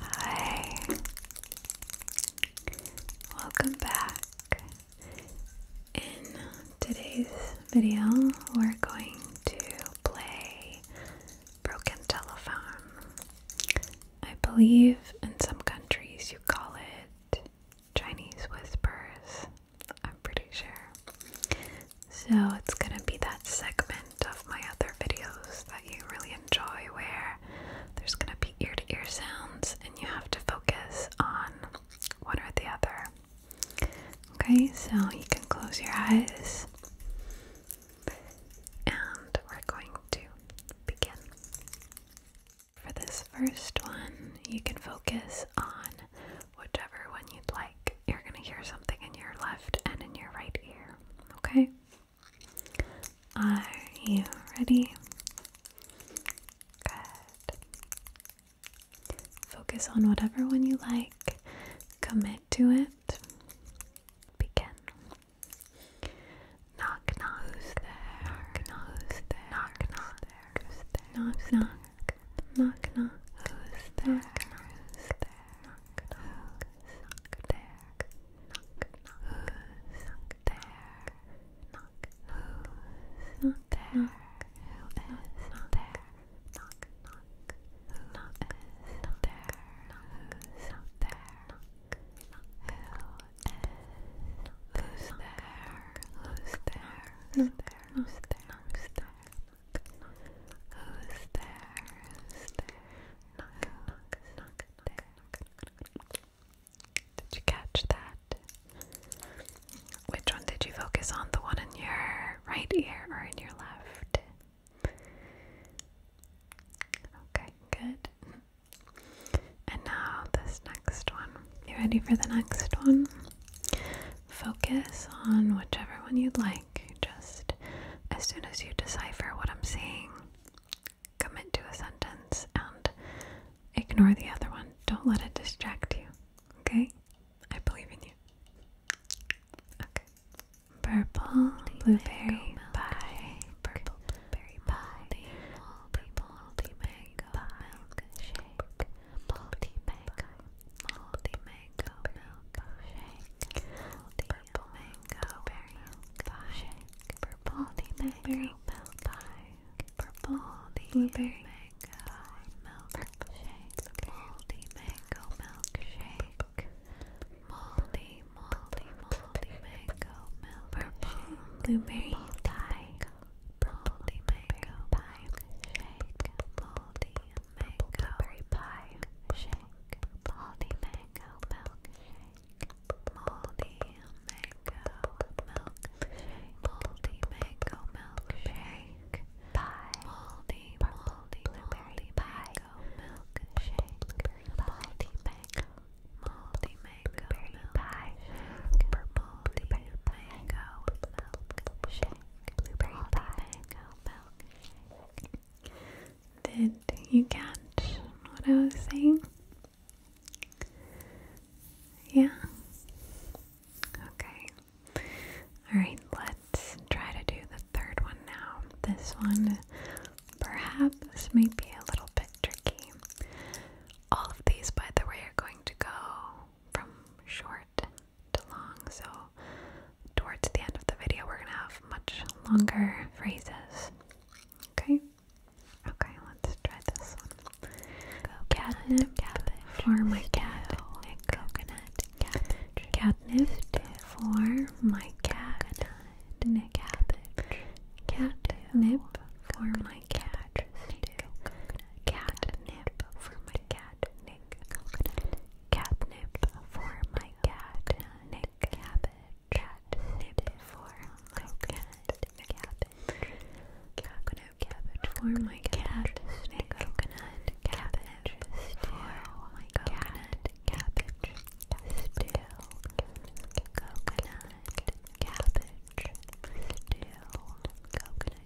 Hi. Welcome back. In today's video, we're going to play Broken Telephone. I believe in some countries you call it Chinese Whispers. I'm pretty sure. So it's gonna be that segment of my other videos that you really enjoy where there's going to be ear to ear sounds and you have to focus on one or the other. Okay, so you can close your eyes and we're going to begin. For this first one, you can focus on whichever one you'd like. You're going to hear something in your left and in your right ear, okay? Are you ready? Good. Focus on whatever one you like, commit to it. Begin. Knock, knock. Who's there? Knock, knock. Who's there? Knock, knock. Who's there? Knock, knock. Who's there? Knock, knock. Knock, knock. Who's knock there? Who's not there? Who is not there? Knock, not there? who's not there? Who's there? Who's there? Who's there? Who's there? Who's there? knock, knock, knock, knock. Did you catch that? Which one did you focus on? The one in your right ear or in your left? Okay, good. And now this next one. You ready for the next one? Focus on whichever one you'd like just as soon as you decipher what I'm saying, commit to a sentence and ignore the other one. Don't let it distract you. Okay? I believe in you. Okay. Purple blueberry pie. Purple blueberry pie. Multi mango milkshake. Multi mango mango milk shake, purple mango berry pie shake, purple blueberry milk pie, purple blueberry mango milk shake, moldy mango milk shake, moldy moldy moldy purple blueberry mango pie shake, moldy mango blueberry pie shake, moldy mango milk moldy mango milk moldy mango milk pie, moldy, moldy blueberry pie, milk shake, moldy mango, moldy mango milk pie, moldy mango milk shake, moldy mango milk. Did you catch what I was saying? Yeah? Okay. Alright, let's try to do the third one now. This one perhaps may be a little bit tricky. All of these, by the way, are going to go from short long, so towards the end of the video, we're gonna have much longer phrases. Okay? Okay, let's try this one. Coconut, catnip cabbage, for my cat, Nick. Coconut, cabbage, catnip for my cat, Nick. Cabbage, catnip for my cat, Nick. Catnip for my cat, Coconut, Catnip for my cat, Nick Cabbage. Catnip for my cat, Coconut cabbage for my cat, Coconut Cabbage. For my coconut cabbage, still coconut cabbage, still coconut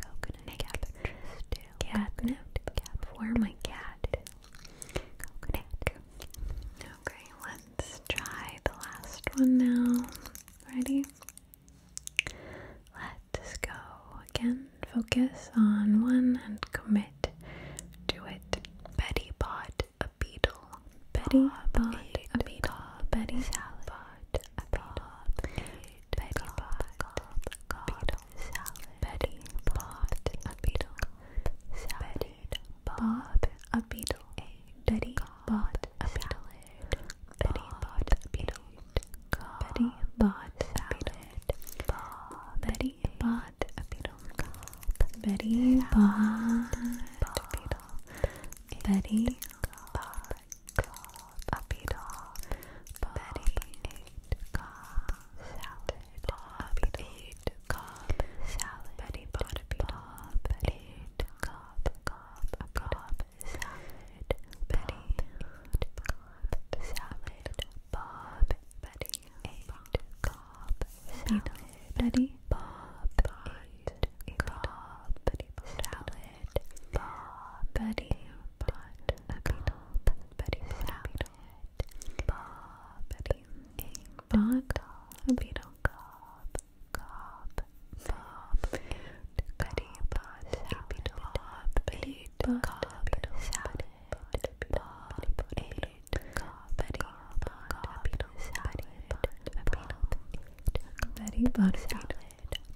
coconut cabbage catnip, catnip, for my cat, coconut. Okay, let's try the last one now. Ready? Let's go again. Focus on one and commit to it. Betty bought a beetle. Betty bought a beetle. Betty bought a beetle. Betty Bob, Cobb, Cobb, Salad, Betty Bob, a beetle, Salad, Bob, a beetle, Betty Bot, a beetle, Betty Bot, a beetle, Betty Bot, Salad, Betty Bot, a beetle, Betty Bot, a beetle, Betty Bot, Club, Uppy Doll, Betty, Eight Cobb, Salad, Bob, Eight Cobb, Salad, Betty, Bob, Eight Cobb, Cobb, Betty, Cobb, Salad, Salad, Betty, Bob, Eight Cobb, Salad. Betty bought a beetle. Betty bought a beetle. Betty bought a beetle. Cob, cob, bob. Betty bought a beetle. Betty bought a beetle. Betty bought a beetle. Betty bought a beetle. Betty bought a beetle.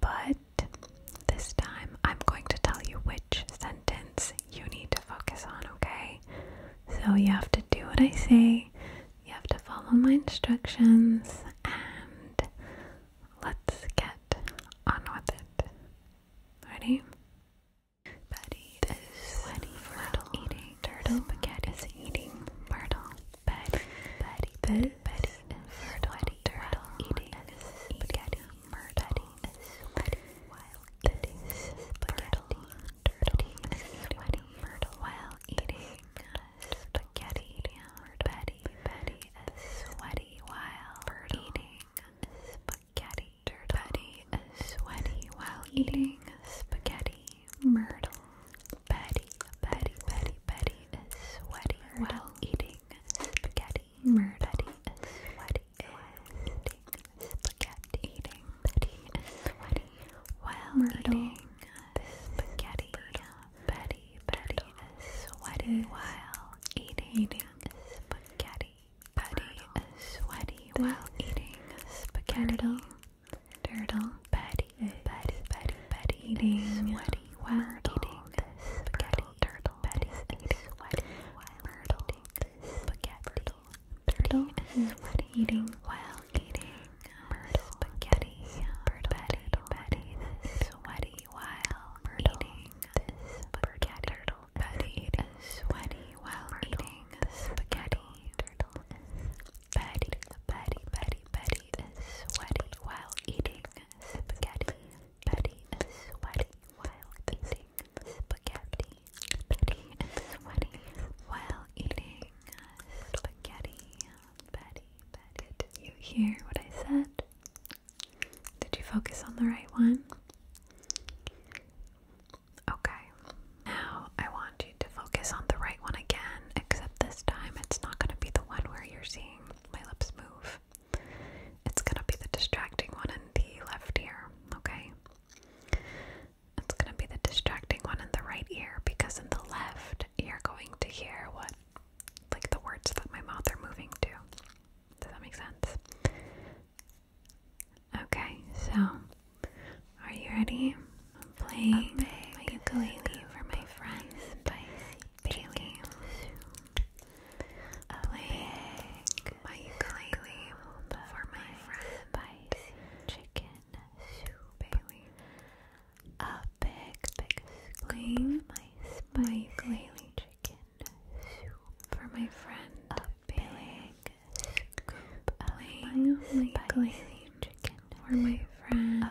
But this time I'm going to tell you which sentence you need to focus on, okay? So you have to do what I say, you have to follow my instructions, and let's get on with it. Ready? Betty turtle eating, turtle spaghetti is eating, turtle Betty, Betty, Betty, Betty, Betty, turtle eating spaghetti, Betty, Betty, while eating spaghetti, dirty, sweaty, Myrtle, while eating spaghetti, Betty, Betty, sweaty, while eating spaghetti, dirty, sweaty, while eating spaghetti, Myrtle, Betty, Betty, Betty, Betty, sweaty, while eating spaghetti, murdering, sweaty, sweating, eating, Betty, sweaty, while eating spaghetti, Betty, sweaty, while eating, spaghetti, Betty, sweaty, while turtle, Betty, Betty, Betty, Betty, sweaty Wordle, spaghetti turtle, Betty, eating this spaghetti turtle, Betty, Betty, sweaty while eating this spaghetti turtle, Betty, sweaty while eating spaghetti turtle, Betty, Betty, Betty, Betty, is sweaty while eating spaghetti. Betty is sweaty while eating spaghetti. Betty is sweaty while eating spaghetti. Betty, Betty. Did you hear what I said? Did you focus on the right one? Okay. Now I want you to focus on the right one again, except this time it's not going to be the one where you're seeing my lips move. It's gonna be the distracting one in the left ear, okay? It's gonna be the distracting one in the right ear because in the left you're going to hear what, like the words that my mouth are moving to. Does that make sense? Okay, so are you ready? I'm playing my ukulele for my friends by Bailey. I'm playing my ukulele for my friends by Chicken Soup A big, big scoop my ukulele chicken soup for my friend a big scoop my ukulele chicken for my friend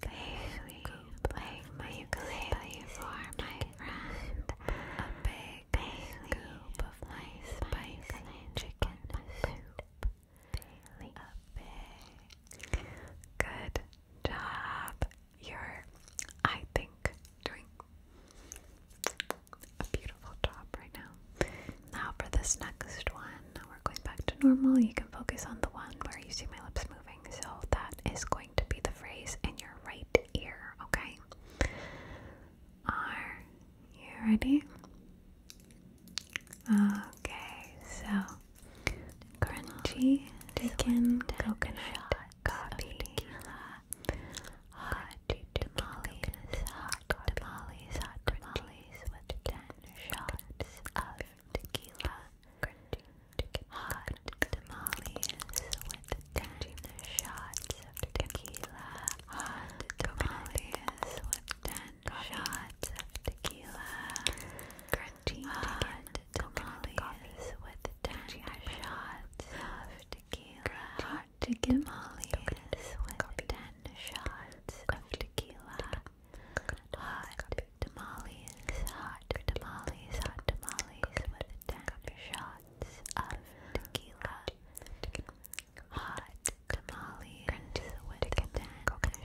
Baby, play my ukulele for my friend. A big scoop of my chicken soup. A big. Good job. You're, I think, doing a beautiful job right now. Now for this next one, we're going back to normal. You can focus on the one where you see my lips so that is going to be the phrase in your right ear, okay? Are you ready? Okay, so crunchy chicken coconut coffee hot tamales, hot tamales, hot tamales with ten shots tequila, hot tamales with ten shots of tequila, hot tamales with ten shots of tequila, crunchy hot tamales with ten shots of tequila, hot tamales with ten shots of tequila. Hot tamales, hot tamales, hot tamales with ten shots of tequila. Hot tamales with ten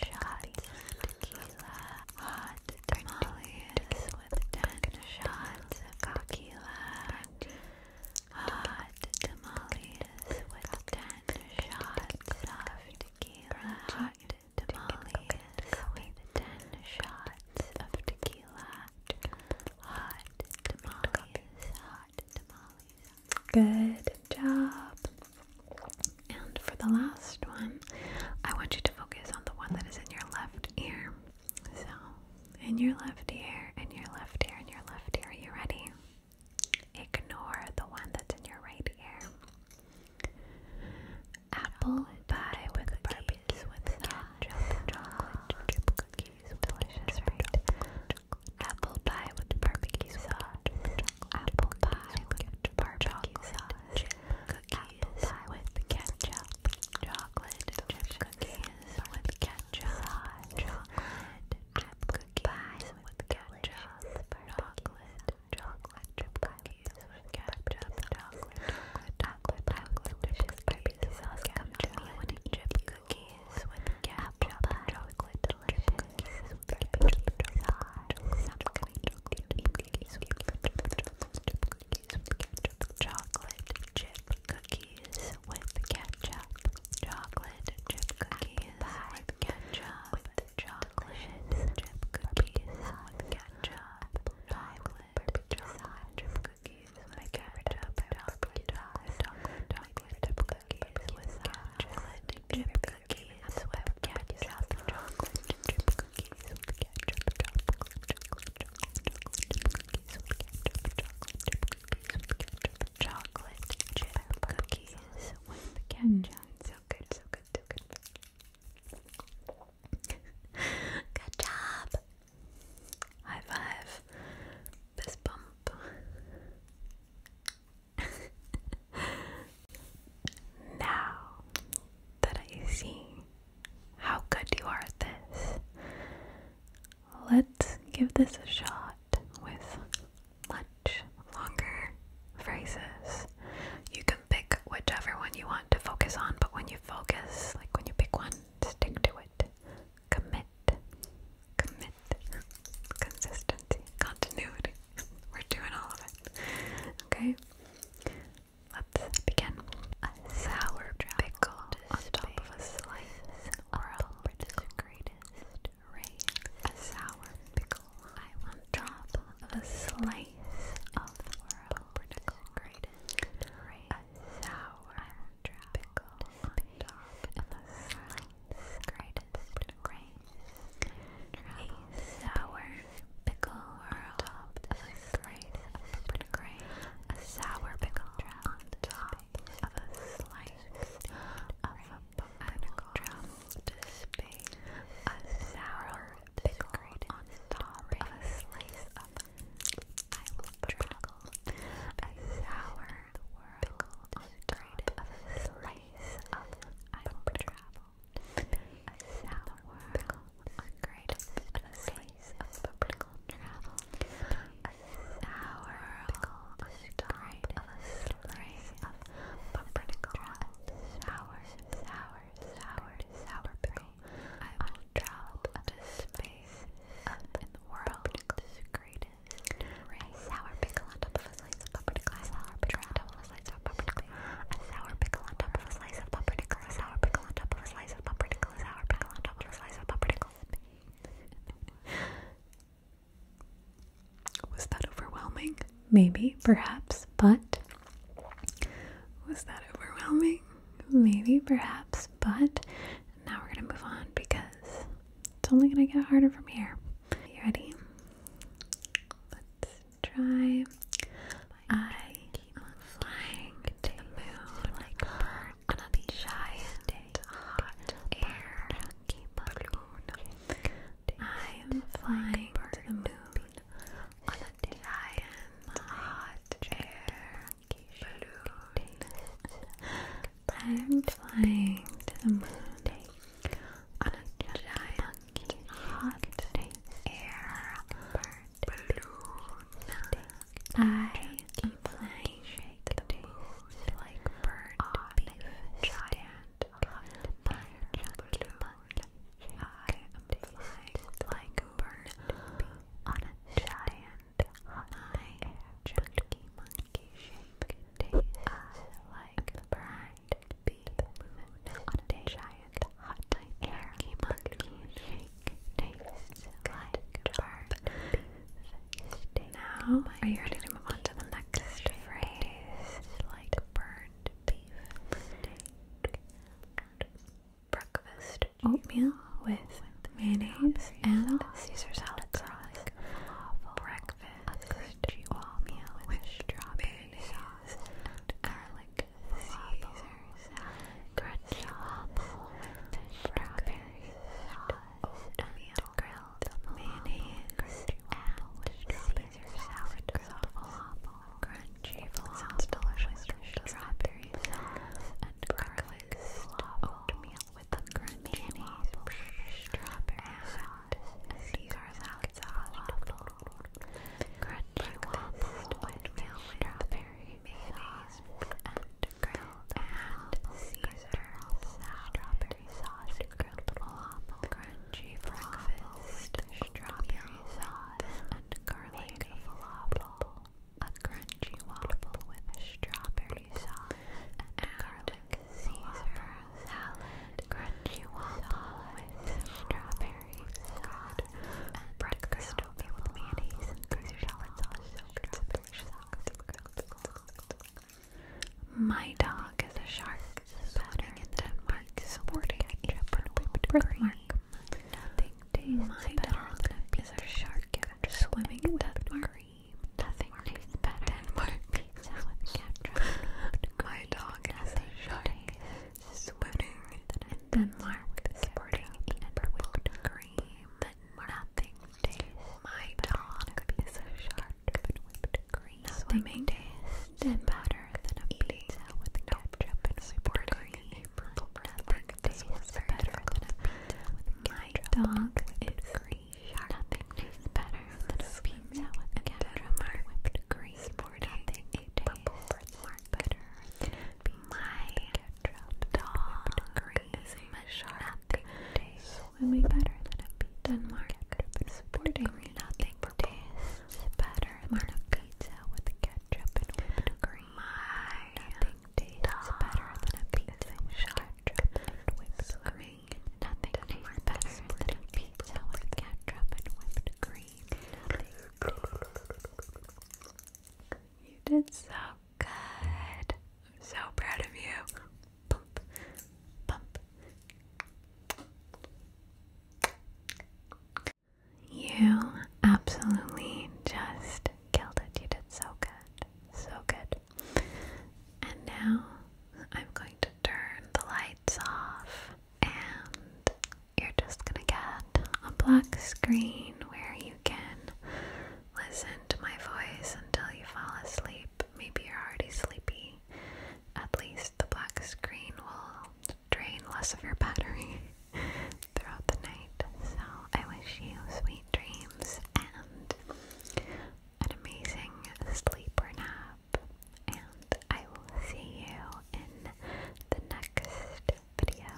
shots of tequila. Hot tamales with ten shots of tequila. Hot tamales with ten shots of tequila. Hot tamales with 10 shots of tequila. Hot tamales, hot tamales. Good job. And for the last one, I want you to focus on the one that is in your left ear. So, in your left ear, in your left ear, in your left ear. Are you ready? Ignore the one that's in your right ear. Apple pie with barbecue with sauce. Chocolate cookies. Delicious, Apple pie with barbecue sauce. Apple pie with barbecue sauce. Cookies with ketchup. Chocolate cookies with ketchup. Chocolate cookies with ketchup. Chocolate chocolate chip cookies with ketchup, chocolate, chocolate, chocolate chip cookies, sauce, chocolate chip cookies with ketchup, chocolate, delicious cookies with ketchup, sauce, chocolate cookies, chocolate chip cookies with ketchup, chocolate chip cookies, with ketchup, chocolate chip cookies, with ketchup, chocolate, chip cookies, with ketchup, chocolate, chocolate, chocolate chip cookies, with chocolate chip cookies, with ketchup, chocolate chip cookies, with ketchup, chocolate, chocolate, chocolate chip cookies, with ketchup, chocolate chip cookies, with ketchup, chocolate chip cookies, with ketchup. So good, so good, job. High five. This bump. now that I see how good you are at this, let's give this a shot with much longer phrases. You can pick whichever one you want to focus on, but when you focus, like when you pick one, stick to it. Commit. Commit. Consistency. Continuity. We're doing all of it. Okay? Let's begin. A sour pickle on top of a slice or a the greatest raise a sour pickle. I want drop a slice of the world. A sour pickle on top A sour pickle on top of a slice of A a sour pickle on top of a slice of I will trickle. A sour pickle on top of a slice of I will travel. A sour pickle on great on a slice of purple travel. A sour pickle on stop of of pumpernickel and sour, sour, sour, sour pickle. I will drop to space in the world's greatest slice of pumpernickel. A sour pickle on top of a slice of pumpernickel. A sour pickle on top of a slice of pumpernickel. A sour pickle on top of a slice of pumpernickel. pickle was that overwhelming? Maybe, perhaps, but was that overwhelming? Maybe, perhaps, but now we're gonna move on because it's only gonna get harder from here. You ready? Let's try. I keep on flying to the moon like on a giant hot air balloon. I am flying to the moon on a giant hot air balloon. I am flying to the moon on a giant hot air balloon. I am flying like bird giant I am flying like a bird on a giant high chunky monkey shape. Tastes like a bird bee on a giant hot air monkey shake. Tastes like a bird. Now, are you ready to move on to the Next phrase like burned beef breakfast oatmeal with mayonnaise and Caesar salad sauce. Breakfast oatmeal with strawberry and garlic Caesar salad. Crunchy and grilled mayonnaise and Caesar salad grilled falafel, crunchy falafel, delicious strawberry sauce, and garlic oatmeal with the crunchy mayonnaise, strawberry sauce, and Caesar salad falafel, crunchy oatmeal with strawberry mayonnaise, and grilled and Caesar strawberry sauce, grilled waffle, crunchy breakfast, strawberry sauce, and garlic falafel. A crunchy waffle with a strawberry sauce and garlic Caesar salad. Crunchy waffle with strawberry salad and breakfast oatmeal with mayonnaise and Caesar salad sauce. So good, so delicious. My dog is a shark. Spotting in Denmark. Sporting a purple birthmark. Nothing tastes better than a piece of shark swimming in Denmark. Nothing tastes better than a pizza My dog is a shark. Swimming in Denmark. Nothing taste. My dog could be so sharp and whipped cream. Nothing tastes better than a pizza with ketchup and whipped cream. Nothing tastes better than a pizza with My dog is green. Nothing tastes better than a pizza with ketchup and whipped cream. Nothing tastes better than a pizza with ketchup and whipped cream is a shark. better than a beach. Denmark supporting nothing tastes better than a pizza with ketchup and whipped cream. Nothing tastes Nothing tastes better than a pizza with ketchup and whipped cream. You did so good. I'm so proud of you. Pump, pump. You absolutely just killed it. You did so good. So good. And now I'm going to turn the lights off and you're just gonna get a black screen where you can Listen to my voice until you fall asleep. Maybe you're already sleepy. At least the black screen will drain less of your battery throughout the night. So I wish you sweet dreams and an amazing sleeper nap. And I will see you in the next video.